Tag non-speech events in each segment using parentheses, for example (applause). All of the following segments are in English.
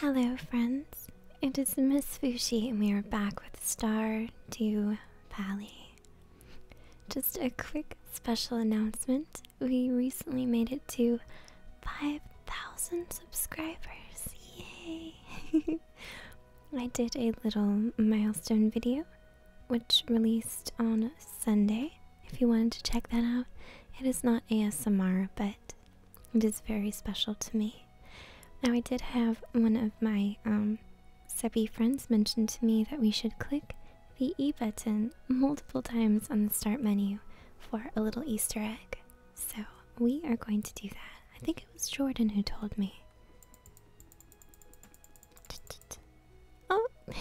Hello, friends. It is Miss Fushi, and we are back with Star to Valley. Just a quick special announcement. We recently made it to 5,000 subscribers. Yay! (laughs) I did a little milestone video which released on Sunday. If you wanted to check that out, it is not ASMR, but it is very special to me. Now, I did have one of my um, friends mention to me that we should click the E button multiple times on the start menu for a little Easter egg. So, we are going to do that. I think it was Jordan who told me. Oh, (laughs) look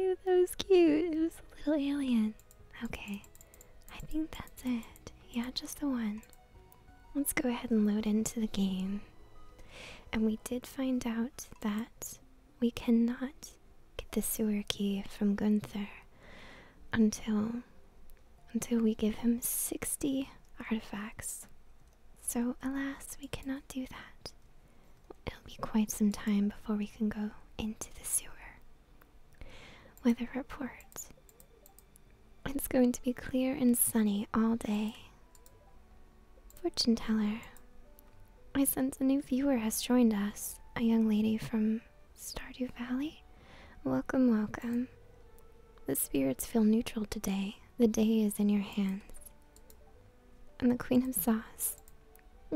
at that was cute. It was a little alien. Okay, I think that's it. Yeah, just the one. Let's go ahead and load into the game. And we did find out that we cannot get the sewer key from Gunther until until we give him 60 artifacts. So, alas, we cannot do that. It'll be quite some time before we can go into the sewer. Weather report. It's going to be clear and sunny all day. Fortune teller. I sense a new viewer has joined us, a young lady from Stardew Valley. Welcome, welcome. The spirits feel neutral today. The day is in your hands. And the Queen of Sauce.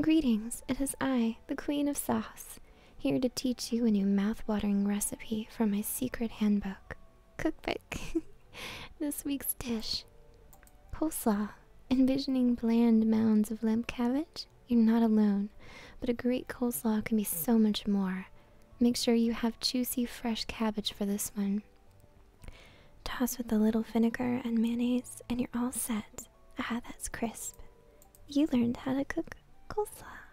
Greetings, it is I, the Queen of Sauce, here to teach you a new mouth-watering recipe from my secret handbook, cookbook. (laughs) this week's dish, coleslaw. Envisioning bland mounds of limp cabbage? You're not alone, but a great coleslaw can be so much more. Make sure you have juicy, fresh cabbage for this one. Toss with a little vinegar and mayonnaise, and you're all set. Ah, that's crisp. You learned how to cook coleslaw.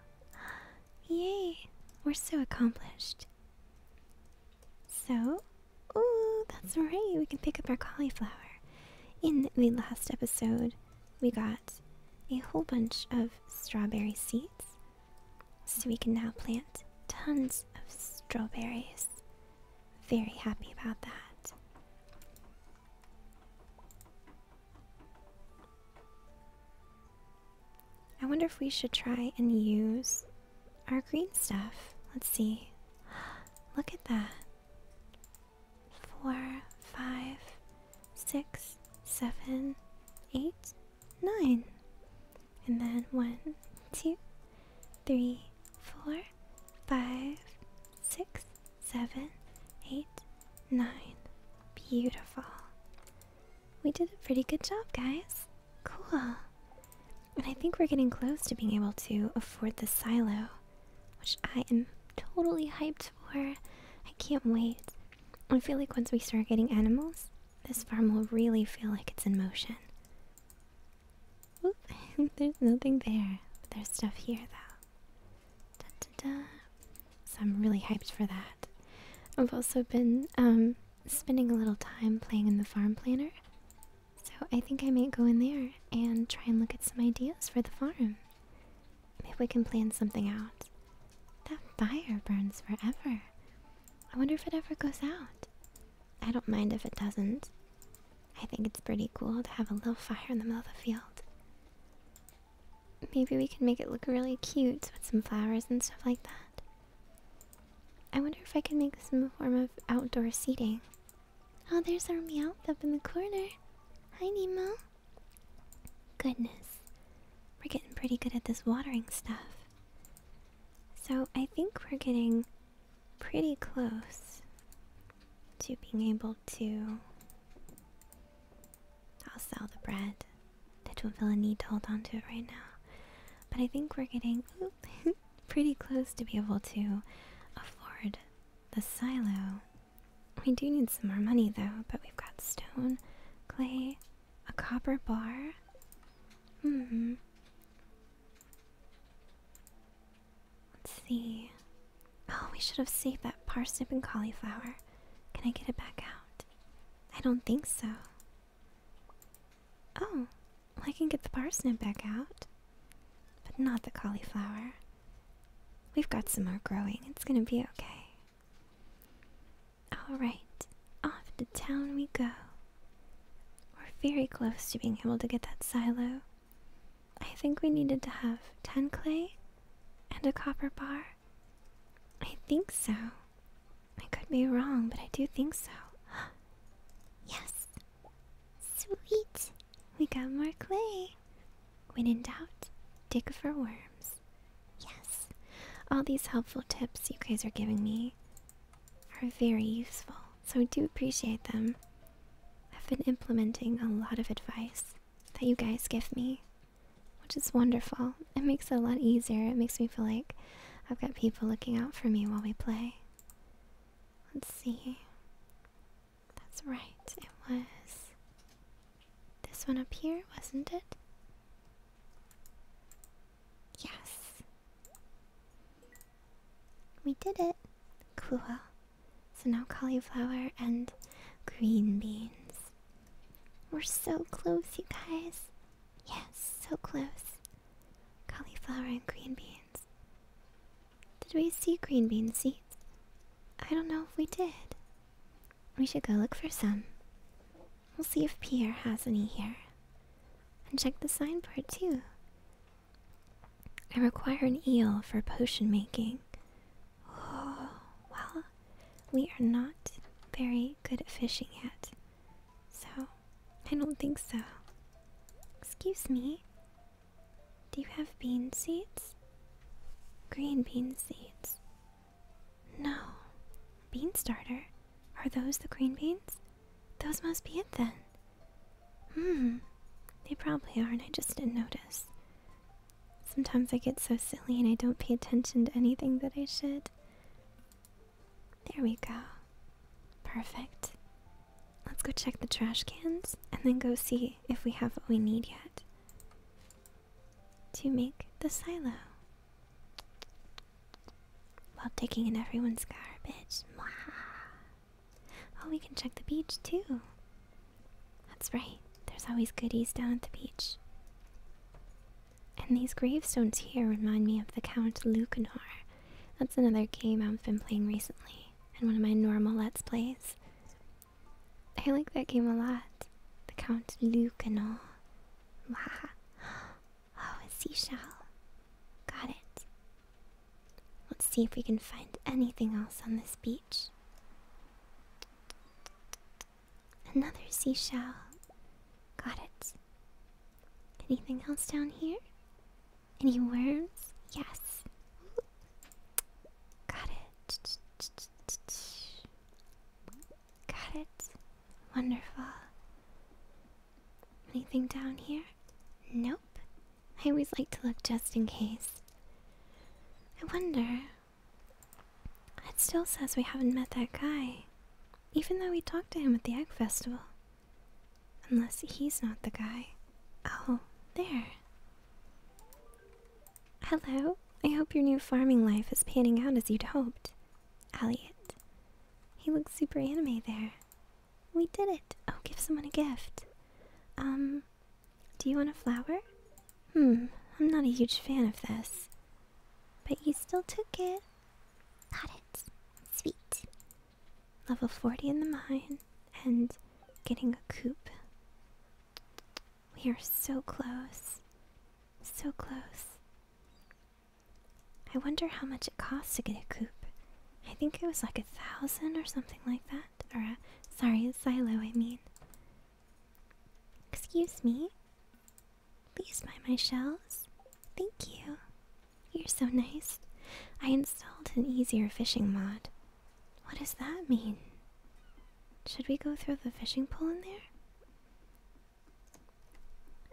Yay! We're so accomplished. So, ooh, that's right. We can pick up our cauliflower. In the last episode, we got a whole bunch of strawberry seeds so we can now plant tons of strawberries. Very happy about that. I wonder if we should try and use our green stuff. Let's see. (gasps) Look at that. Four, five, six, seven, eight, nine and then one, two, three, four, five, six, seven, eight, nine. Beautiful. We did a pretty good job, guys. Cool. And I think we're getting close to being able to afford the silo, which I am totally hyped for. I can't wait. I feel like once we start getting animals, this farm will really feel like it's in motion. (laughs) There's nothing there. But there's stuff here though. So I'm really hyped for that. I've also been um, spending a little time playing in the farm planner. So I think I might go in there and try and look at some ideas for the farm. Maybe we can plan something out. That fire burns forever. I wonder if it ever goes out. I don't mind if it doesn't. I think it's pretty cool to have a little fire in the middle of the field. Maybe we can make it look really cute with some flowers and stuff like that. I wonder if I can make some form of outdoor seating. Oh, there's our meow up in the corner. Hi, Nemo. Goodness. We're getting pretty good at this watering stuff. So I think we're getting pretty close to being able to. I'll sell the bread. I don't feel a need to hold on to it right now. But I think we're getting (laughs) pretty close to be able to afford the silo. We do need some more money though, but we've got stone, clay, a copper bar. hmm. Let's see. Oh, we should have saved that parsnip and cauliflower. Can I get it back out? I don't think so. Oh, I can get the parsnip back out, but not the cauliflower. We've got some more growing. It's gonna be okay. Alright, right. I'll have to to town we go. We're very close to being able to get that silo. I think we needed to have 10 clay and a copper bar. I think so. I could be wrong, but I do think so. (gasps) yes! Sweet! We got more clay! When in doubt, dig for worms. Yes. All these helpful tips you guys are giving me are very useful, so I do appreciate them. I've been implementing a lot of advice that you guys give me, which is wonderful. It makes it a lot easier. It makes me feel like I've got people looking out for me while we play. Let's see. That's right, it was this one up here, wasn't it? Yes. We did it. Cool. So now cauliflower and green beans. We're so close, you guys. Yes, so close. Cauliflower and green beans. Did we see green bean seeds? I don't know if we did. We should go look for some. We'll see if Pierre has any here. And check the sign part too. I require an eel for potion making. Oh, well, we are not very good at fishing yet. So, I don't think so. Excuse me. Do you have bean seeds? Green bean seeds. No. Bean starter? Are those the green beans? Those must be it then. Hmm. They probably are, and I just didn't notice. Sometimes I get so silly and I don't pay attention to anything that I should. There we go. Perfect. Let's go check the trash cans and then go see if we have what we need yet to make the silo. While digging in everyone's garbage. Oh, we can check the beach too. That's right, there's always goodies down at the beach. And these gravestones here remind me of the Count Lucanar. That's another game I've been playing recently, and one of my normal Let's Plays. I like that game a lot. The Count Lucanor. Wow. Oh, a seashell. Got it. Let's see if we can find anything else on this beach. Another seashell. Got it. Anything else down here? Any worms? Yes. Got it. Got it. Wonderful. Anything down here? Nope. I always like to look just in case. I wonder. It still says we haven't met that guy, even though we talked to him at the Egg Festival. Unless he's not the guy. Oh, there. Hello. I hope your new farming life is panning out as you'd hoped. Elliot. He looks super anime there. We did it. Oh, give someone a gift. Um, do you want a flower? Hmm, I'm not a huge fan of this. But you still took it. Got it. Sweet. Level 40 in the mine and getting a coop. We are so close. So close. I wonder how much it costs to get a coop. I think it was like a thousand or something like that. Or, a, sorry, a silo, I mean. Excuse me? Please buy my shells. Thank you. You're so nice. I installed an easier fishing mod. What does that mean? Should we go throw the fishing pole in there?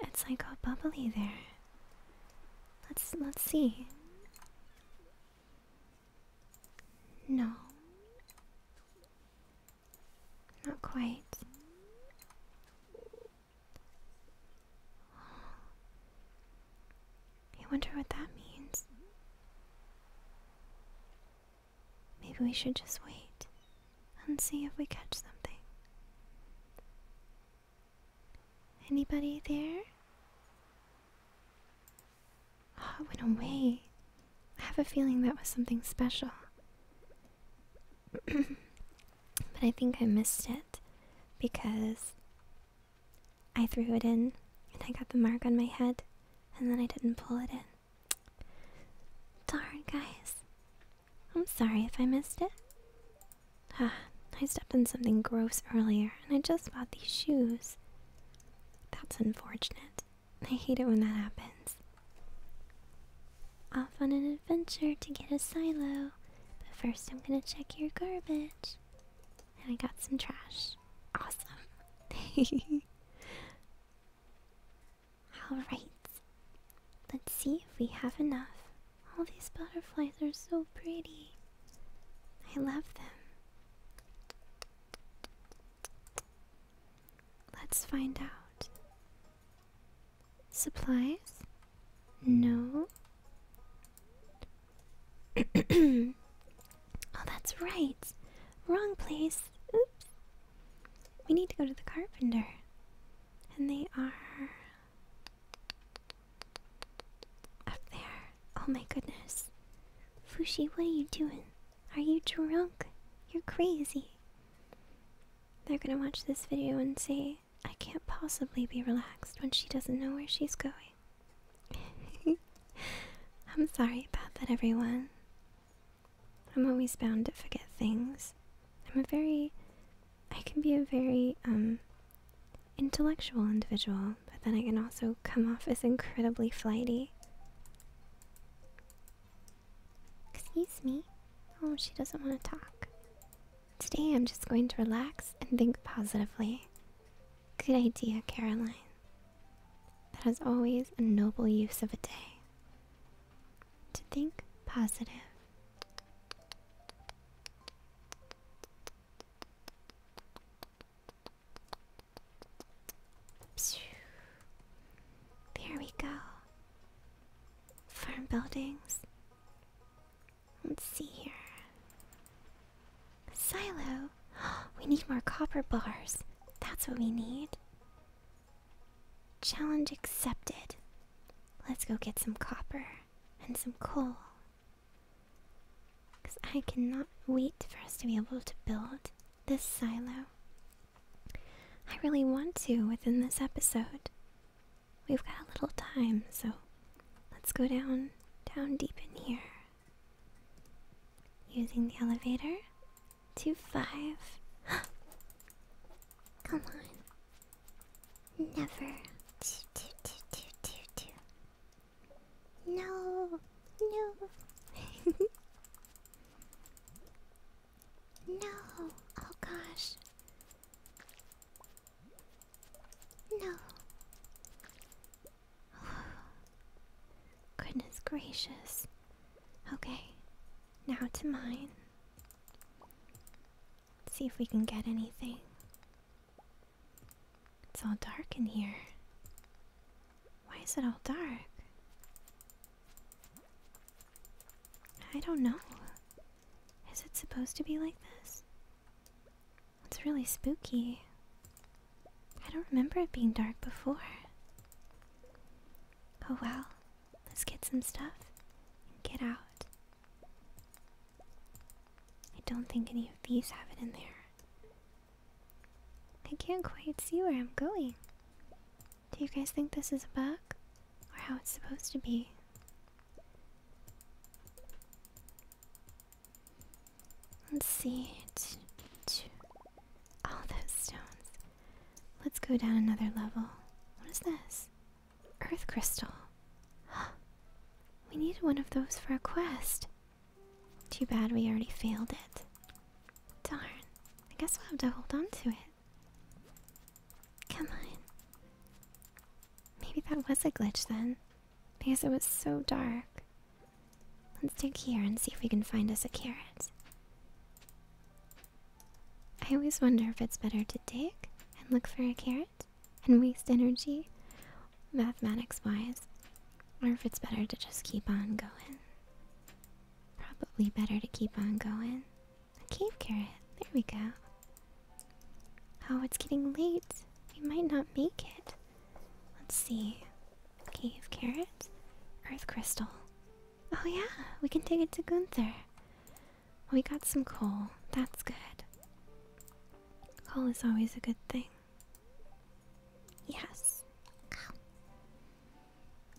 It's like all bubbly there. Let's let's see. No. Not quite. I wonder what that means. Maybe we should just wait and see if we catch something. Anybody there? Oh, it went away. I have a feeling that was something special. (clears throat) but I think I missed it because I threw it in and I got the mark on my head and then I didn't pull it in. Darn, guys. I'm sorry if I missed it. (sighs) I stepped in something gross earlier, and I just bought these shoes. That's unfortunate. I hate it when that happens. Off on an adventure to get a silo, but first I'm gonna check your garbage. And I got some trash. Awesome. (laughs) Alright, let's see if we have enough all these butterflies are so pretty. I love them. Let's find out. Supplies? No. (clears throat) oh, that's right. Wrong place. Oops. We need to go to the carpenter. And they are up there. Oh my goodness. Fushi, what are you doing? Are you drunk? You're crazy. They're gonna watch this video and say, I can't possibly be relaxed when she doesn't know where she's going. (laughs) I'm sorry about that, everyone. I'm always bound to forget things. I'm a very I can be a very um, intellectual individual, but then I can also come off as incredibly flighty. Excuse me. Oh, she doesn't want to talk. Today I'm just going to relax and think positively. Good idea, Caroline. That has always a noble use of a day. To think positive. There we go. Farm buildings. Let's see here. Silo. (gasps) We need more copper bars. That's what we need. Challenge accepted. Let's go get some copper and some coal. Because I cannot wait for us to be able to build this silo. I really want to within this episode. We've got a little time, so let's go down, down deep in here. Using the elevator to five. (gasps) Come on. Never. No, no. (laughs) no, oh gosh. No. (sighs) Goodness gracious. Okay, now to mine. Let's see if we can get anything. It's all dark in here. Why is it all dark? I don't know. Is it supposed to be like this? It's really spooky. I don't remember it being dark before. Oh well, let's get some stuff and get out. I don't think any of these have it in there. I can't quite see where I'm going. Do you guys think this is a bug? Or how it's supposed to be? Let's see. All those stones. Let's go down another level. What is this? Earth crystal. (gasps) we need one of those for a quest. Too bad we already failed it. Darn. I guess we'll have to hold on to it. Come on. Maybe that was a glitch then. Because it was so dark. Let's dig here and see if we can find us a carrot. I always wonder if it's better to dig and look for a carrot and waste energy mathematics wise, or if it's better to just keep on going. Probably better to keep on going. cave carrot, there we go. Oh, it's getting late. We might not make it. Let's see. Cave carrot, earth crystal. Oh, yeah, we can take it to Gunther. We got some coal. That's good. Call is always a good thing. Yes.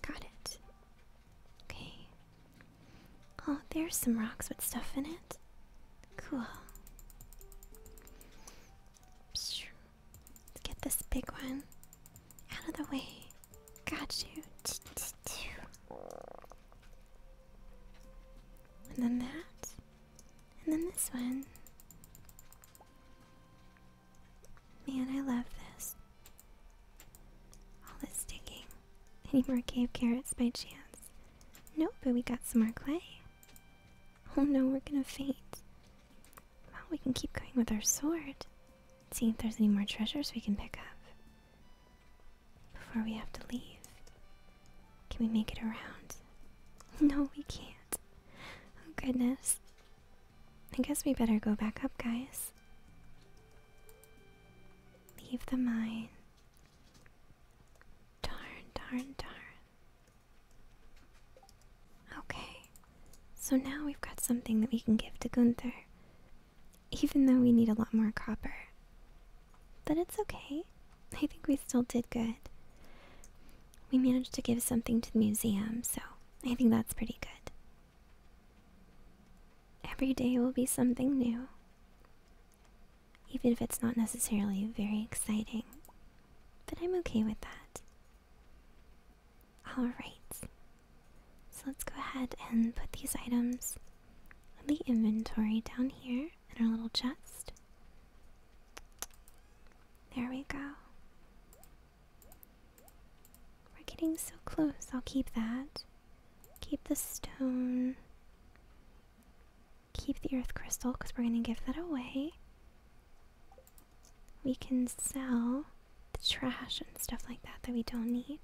Got it. Okay. Oh, there's some rocks with stuff in it. Cool. Let's get this big one out of the way. Got you. And then that. And then this one. Man, I love this. All this digging. Any more cave carrots by chance? Nope, but we got some more clay. Oh no, we're gonna faint. Well, we can keep going with our sword. See if there's any more treasures we can pick up before we have to leave. Can we make it around? (laughs) No, we can't. Oh, goodness. I guess we better go back up, guys. Leave the mine. Darn, darn, darn. Okay, so now we've got something that we can give to Gunther. Even though we need a lot more copper. But it's okay. I think we still did good. We managed to give something to the museum, so I think that's pretty good. Every day will be something new. Even if it's not necessarily very exciting. But I'm okay with that. Alright. So let's go ahead and put these items on the inventory down here here in our little chest. There we go. We're getting so close. I'll keep that. Keep the stone. Keep the earth crystal because we're going to give that away. We can sell the trash and stuff like that that we don't need.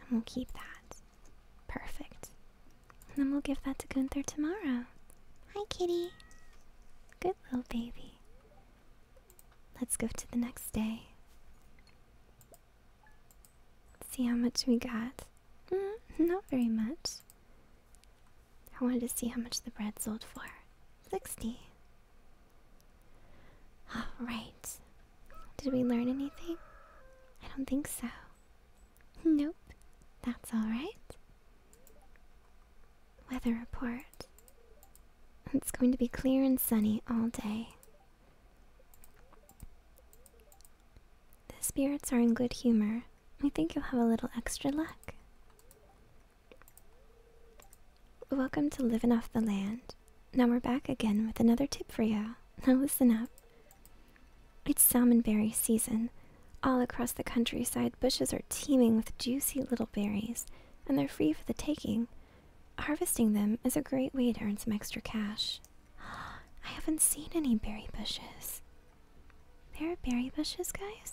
And we'll keep that. Perfect. And then we'll give that to Gunther tomorrow. Hi, kitty. Good little baby. Let's go to the next day. see how much we got. Mm, not very much. I wanted to see how much the bread sold for. 60. Alright, did we learn anything? I don't think so. Nope. That's alright. Weather report. It's going to be clear and sunny all day. The spirits are in good humor. We think you'll have a little extra luck. Welcome to Living Off the Land. Now we're back again with another tip for you. (laughs) Now listen up. It's salmonberry season. All across the countryside, bushes are teeming with juicy little berries, and they're free for the taking. Harvesting them is a great way to earn some extra cash. (gasps) I haven't seen any berry bushes. There are berry bushes, guys?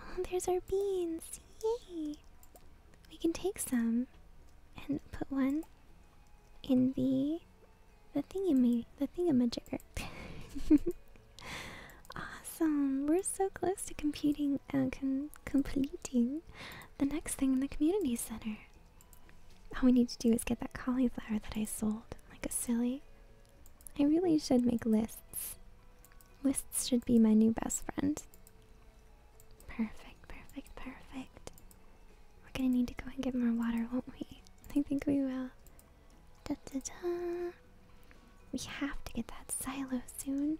Oh, there's our beans. Yay! We can take some and put one in the the thing in thingy the thing in my thingamajigger. awesome! We're so close to completing, uh, completing the next thing in the community center. All we need to do is get that cauliflower that I sold, like a silly. I really should make lists. Lists should be my new best friend. Perfect, perfect, perfect. We're gonna need to go and get more water, won't we? I think we will. We have to get that silo soon.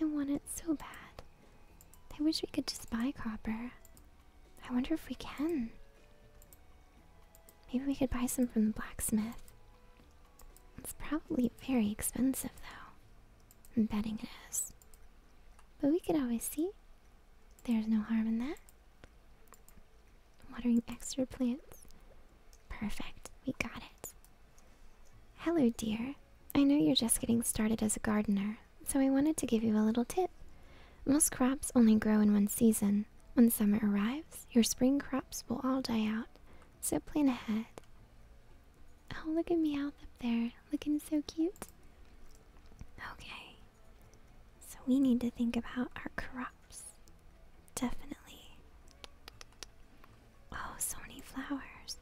I want it so bad. I wish we could just buy copper. I wonder if we can. Maybe we could buy some from the blacksmith. It's probably very expensive, though. I'm betting it is. But we could always see. There's no harm in that. Watering extra plants. Perfect, we got it. Hello, dear. I know you're just getting started as a gardener, so I wanted to give you a little tip. Most crops only grow in one season. When summer arrives, your spring crops will all die out, so plan ahead. Oh, look at me out up there, looking so cute. Okay, so we need to think about our crops. Definitely. Oh, so many flowers.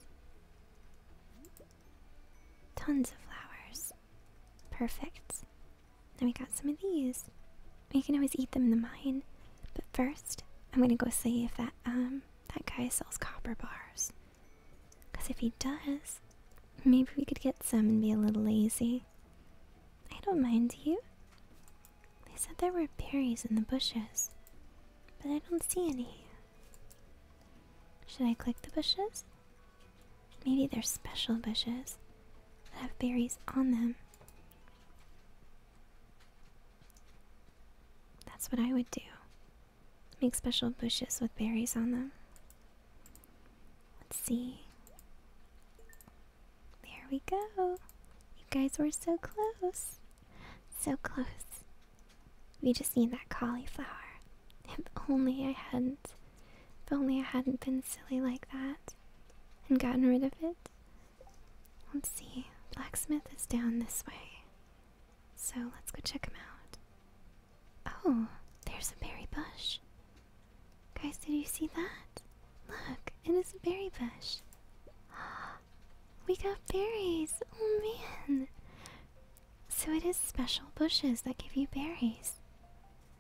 Tons of flowers. Perfect. Then we got some of these. We can always eat them in the mine. But first, I'm gonna go see if that um that guy sells copper bars. Because if he does, maybe we could get some and be a little lazy. I don't mind you. They said there were berries in the bushes, but I don't see any. Should I click the bushes? Maybe they're special bushes that have berries on them. That's what I would do. Make special bushes with berries on them. Let's see. There we go. You guys were so close. So close. We just need that cauliflower. (laughs) If only I hadn't. If only I hadn't been silly like that and gotten rid of it. Let's see. Blacksmith is down this way. So let's go check them out. Oh, there's a berry bush. Guys, did you see that? Look, it is a berry bush. (gasps) We got berries! Oh man! So it is special bushes that give you berries.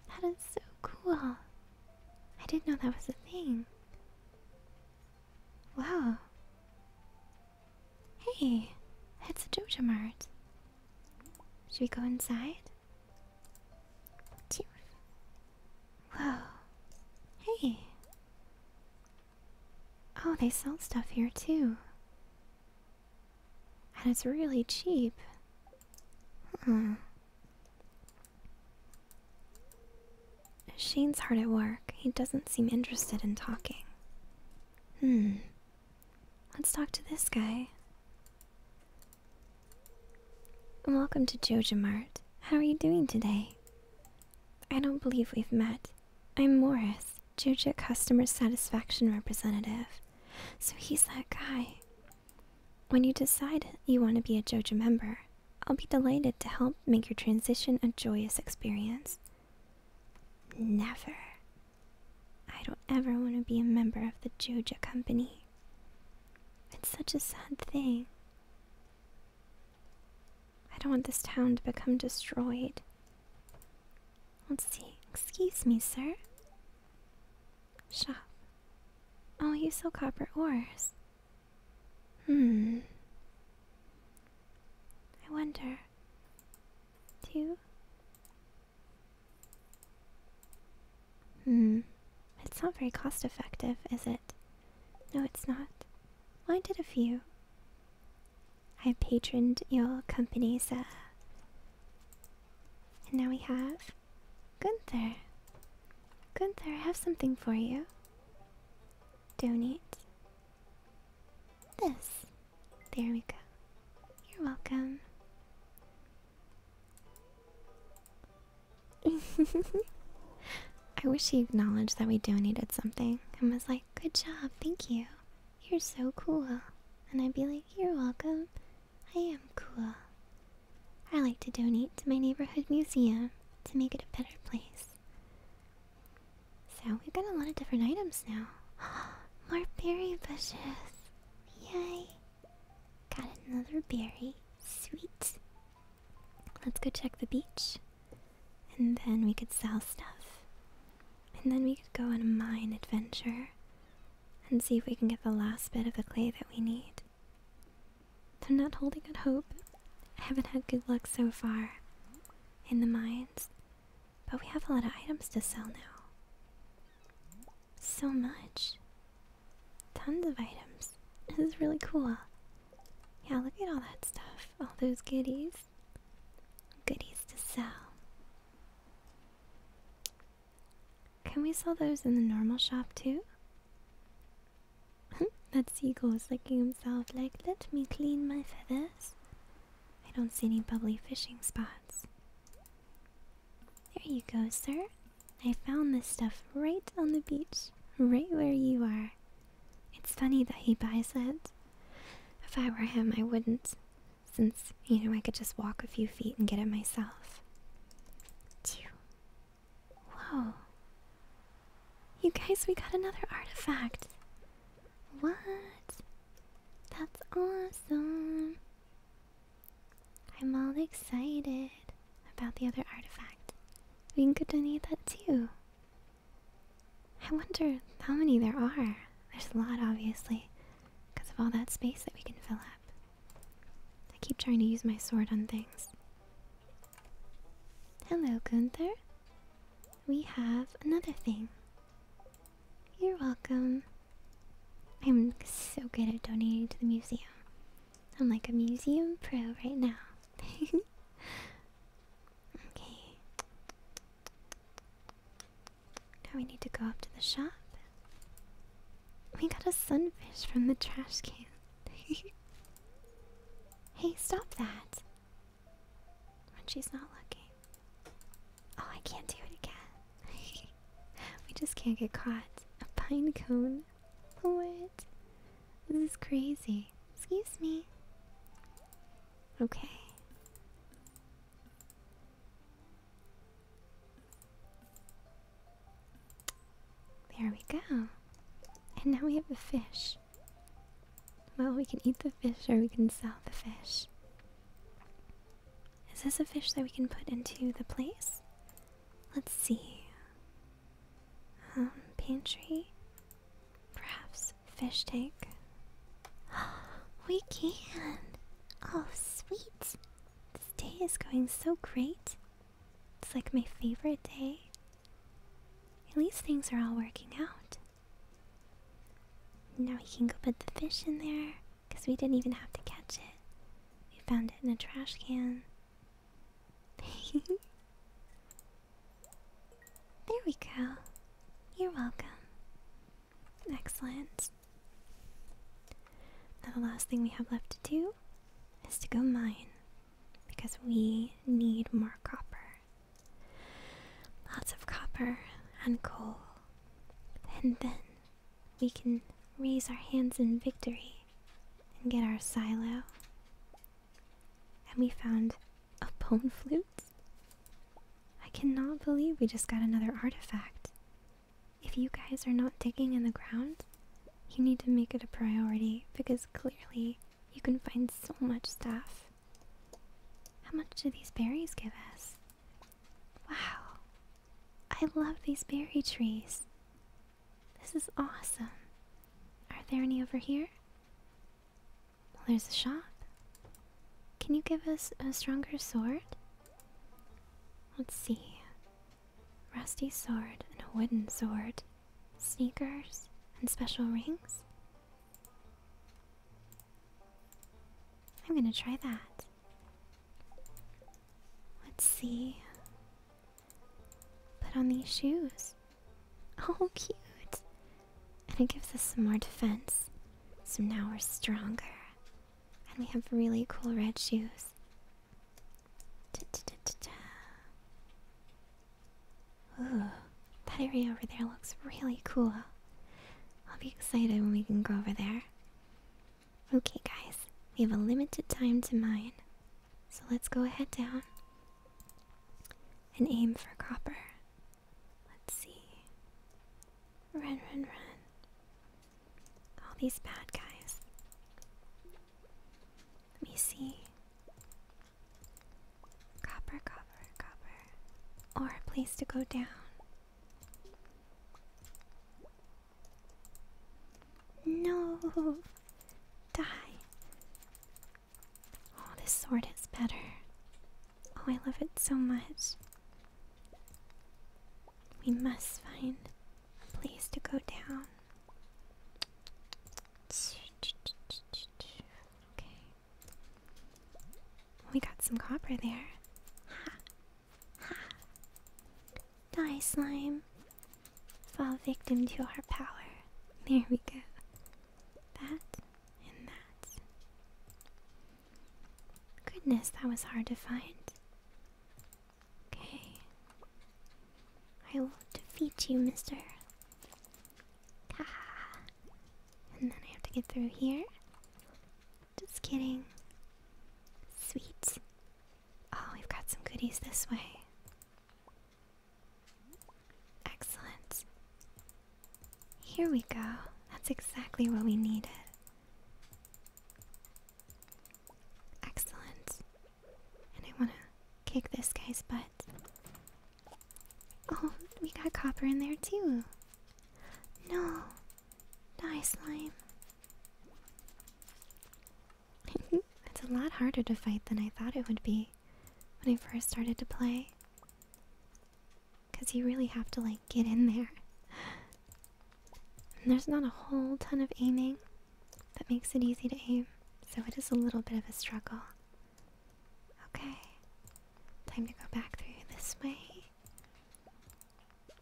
That is so cool. I didn't know that was a thing. Wow. Hey, it's a Jojo Mart. Should we go inside? Whoa. Hey. Oh, they sell stuff here too. And it's really cheap. Hmm. Shane's hard at work. He doesn't seem interested in talking. Hmm. Let's talk to this guy. Welcome to Joja Mart. How are you doing today? I don't believe we've met. I'm Morris, Joja Customer Satisfaction Representative. So he's that guy. When you decide you want to be a Joja member, I'll be delighted to help make your transition a joyous experience. Never. I don't ever want to be a member of the Joja Company. It's such a sad thing. I don't want this town to become destroyed. Let's see. Excuse me, sir. Shop. Oh, you sell copper ores. Hmm. I wonder. Two, Hmm. It's not very cost effective, is it? No, it's not. Why did a few. I patroned your company's, uh. And now we have. Gunther. Gunther, I have something for you. Donate. This. There we go. You're welcome. (laughs) I wish he acknowledged that we donated something and was like, Good job, thank you. You're so cool. And I'd be like, You're welcome. I am cool. I like to donate to my neighborhood museum to make it a better place. So we've got a lot of different items now. (gasps) More berry bushes. Yay. Got another berry. Sweet. Let's go check the beach. And then we could sell stuff. And then we could go on a mine adventure and see if we can get the last bit of the clay that we need. I'm not holding out hope. I haven't had good luck so far in the mines. But we have a lot of items to sell now. So much. Tons of items. This is really cool. Yeah, look at all that stuff. All those goodies. Goodies to sell. Can we sell those in the normal shop too? (laughs) that seagull is licking himself like, let me clean my feathers. I don't see any bubbly fishing spots. There you go, sir. I found this stuff right on the beach, right where you are. It's funny that he buys it. If I were him, I wouldn't, since, you know, I could just walk a few feet and get it myself. Whoa. You guys, we got another artifact. What? That's awesome. I'm all excited about the other artifact. We can go donate that too. I wonder how many there are. There's a lot, obviously, because of all that space that we can fill up. I keep trying to use my sword on things. Hello, Gunther. We have another thing. You're welcome. I'm so good at donating to the museum. I'm like a museum pro right now. (laughs) okay. Now we need to go up to the shop. We got a sunfish from the trash can. (laughs) hey, stop that. When she's not looking. Oh, I can't do it again. (laughs) we just can't get caught. A pine cone? What? This is crazy. Excuse me. Okay. There we go. And now we have a fish. Well, we can eat the fish or we can sell the fish. Is this a fish that we can put into the place? Let's see. Um, pantry? Perhaps fish tank? (gasps) we can! Oh, sweet! This day is going so great. It's like my favorite day. At least things are all working out. Now we can go put the fish in there. Because we didn't even have to catch it. We found it in a trash can. (laughs) there we go. You're welcome. Excellent. Now, the last thing we have left to do is to go mine. Because we need more copper. Lots of copper and coal. And then we can raise our hands in victory and get our silo. And we found a bone flute? I cannot believe we just got another artifact. If you guys are not digging in the ground, you need to make it a priority because clearly you can find so much stuff. How much do these berries give us? Wow. I love these berry trees. This is awesome. Are there any over here? there's a shop. Can you give us a stronger sword? Let's see. Rusty sword and a wooden sword. Sneakers and special rings? I'm gonna try that. Let's see. Put on these shoes. (laughs) Oh, cute. And it gives us some more defense. So now we're stronger. And we have really cool red shoes. Ooh, that area over there looks really cool. I'll be excited when we can go over there. Okay, guys, we have a limited time to mine, so let's go ahead down and aim for copper. Let's see. Run, run, run. All these bad guys. Let me see. Copper, copper, copper. Or a place to go down. No! Die! Oh, this sword is better. Oh, I love it so much. We must find a place to go down. Okay. We got some copper there. Die, slime. Fall victim to our power. There we go. That and that. Goodness, that was hard to find. Okay. I will defeat you, mister. Ah. And then I have to get through here. Just kidding. Sweet. Oh, we've got some goodies this way. Excellent. Here we go. That's exactly what we needed. Excellent. And I want to kick this guy's butt. Oh, we got copper in there too. No, Die, slime. (laughs) it's a lot harder to fight than I thought it would be when I first started to play. Because you really have to, like, get in there. And there's not a whole ton of aiming that makes it easy to aim, so it is a little bit of a struggle. Okay. Time to go back through this way.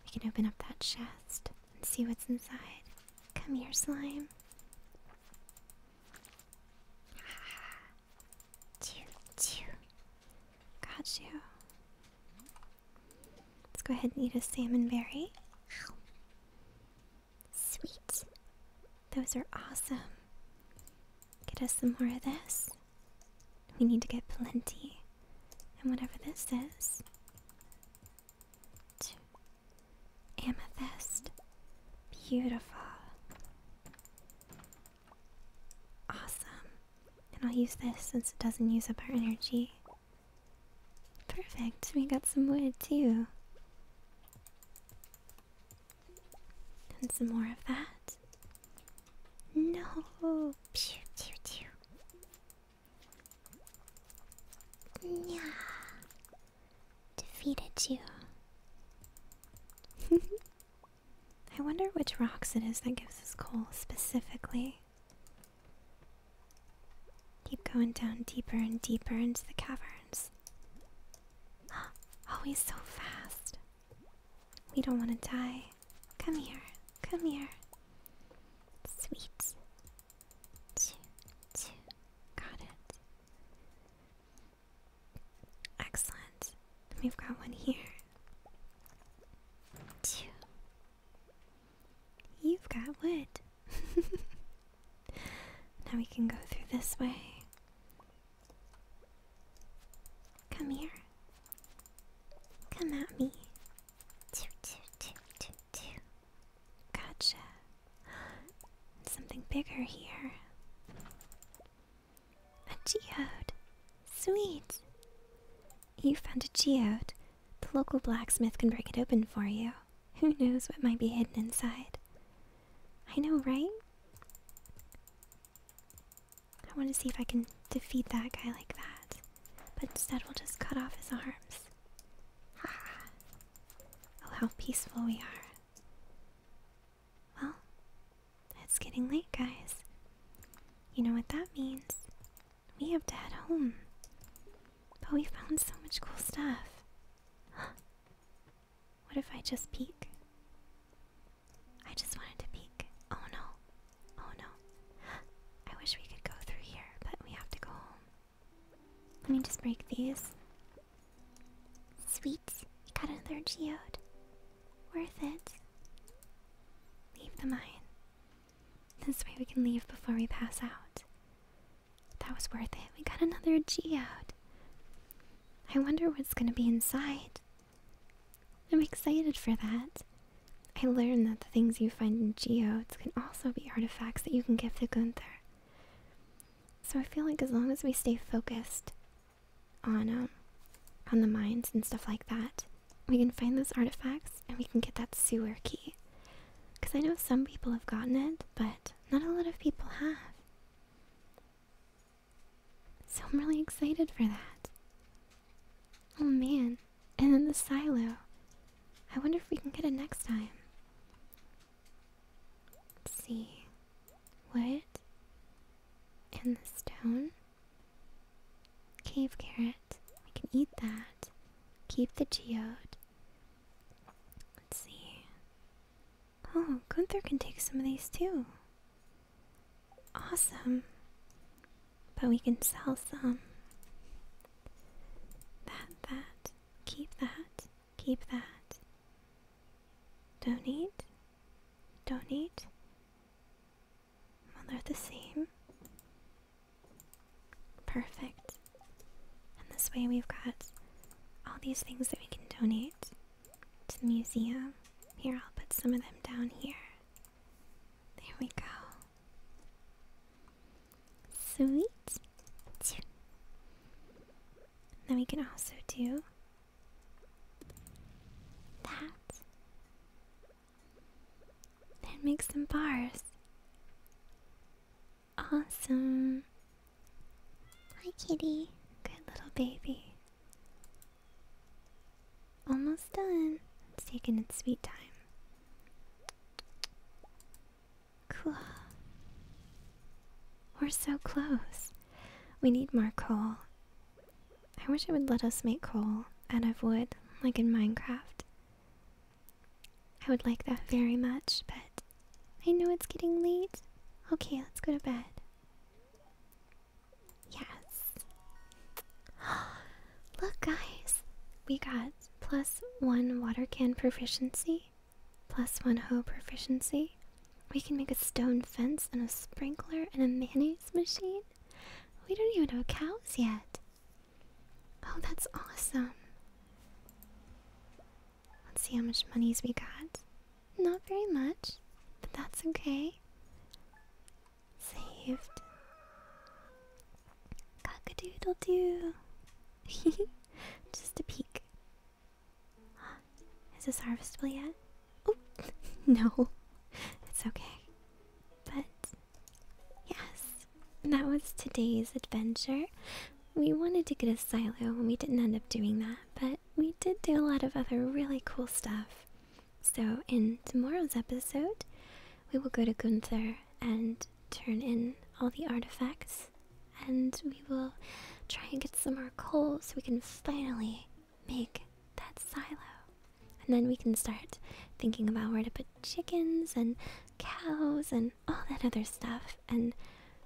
We can open up that chest and see what's inside. Come here, slime. Chew, chew. Got you. Let's go ahead and eat a salmon berry. Sweet. Those are awesome. Get us some more of this. We need to get plenty. And whatever this is. Amethyst. Beautiful. Awesome. And I'll use this since it doesn't use up our energy. Perfect. We got some wood too. And some more of that. No. Yeah. Defeated you. (laughs) I wonder which rocks it is that gives us coal specifically. Keep going down deeper and deeper into the caverns. (gasps) Always so fast. We don't want to die. Come here. Come here. Sweet. Two, two. Got it. Excellent. we've got one here. 2 You've got wood. (laughs) now we can go through this way. Come here. Come at me. Gotcha. Something bigger here. A geode. Sweet. You found a geode. The local blacksmith can break it open for you. Who knows what might be hidden inside? I know, right? I want to see if I can defeat that guy like that. But instead, we'll just cut off his arms. Ah. (laughs) Oh, how peaceful we are. Well, it's getting late, guys. You know what that means? We have to head home. But we found so much cool stuff. (gasps) What if I just peek? I just wanted to peek. Oh no. Oh no. I wish we could go through here, but we have to go home. Let me just break these. sweets. We got another geode. Worth it. Leave the mine. This way we can leave before we pass out. That was worth it. We got another geode. I wonder what's gonna be inside. I'm excited for that. I learned that the things you find in geodes can also be artifacts that you can give to Gunther. So I feel like as long as we stay focused on um on the mines and stuff like that, we can find those artifacts and we can get that sewer key. Cause I know some people have gotten it, but not a lot of people have. So I'm really excited for that. Oh man, and then the silo. I wonder if we can get it next time. Let's see. what? And the stone. Cave carrot. We can eat that. Keep the tea out. Let's see. Oh, Gunther can take some of these too. Awesome. But we can sell some. That, that. Keep that. Keep that. Donate. Donate. Well, they're the same. Perfect. And this way we've got all these things that we can donate to the museum. Here, I'll put some of them down here. There we go. Sweet. Then we can also do that. Then make some bars. Awesome. Hi, kitty. Good little baby. Almost done. It's taking its sweet time. Cool. We're so close. We need more coal. I wish it would let us make coal out of wood, like in Minecraft. I would like that very much, but I know it's getting late. Okay, let's go to bed. Yes. (gasps) Look, guys, we got plus one water can proficiency, plus one hoe proficiency. We can make a stone fence and a sprinkler and a mayonnaise machine. We don't even know cows yet. Oh, that's awesome. Let's see how much monies we got. Not very much, but that's okay. Saved. Cockadoodle doo. (laughs) Just a peek. (gasps) Is this harvestable yet? Oh, (laughs) no. It's okay. But, yes, that was today's adventure. We wanted to get a silo and we didn't end up doing that, but we did do a lot of other really cool stuff. So, in tomorrow's episode, we will go to Gunther and turn in all the artifacts, and we will try and get some more coal so we can finally make that silo. And then we can start thinking about where to put chickens and cows and all that other stuff. And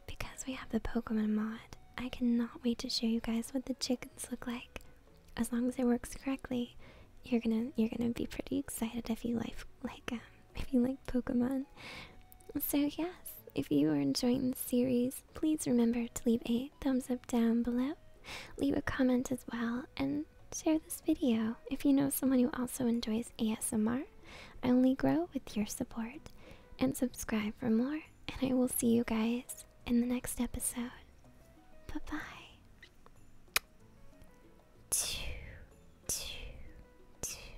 because we have the Pokemon mod, I cannot wait to show you guys what the chickens look like. As long as it works correctly, you're gonna you're gonna be pretty excited if you like like um, if you like Pokemon. So yes, if you are enjoying the series, please remember to leave a thumbs up down below, leave a comment as well, and share this video if you know someone who also enjoys ASMR. I only grow with your support, and subscribe for more. And I will see you guys in the next episode. Bye bye. Two, two, two.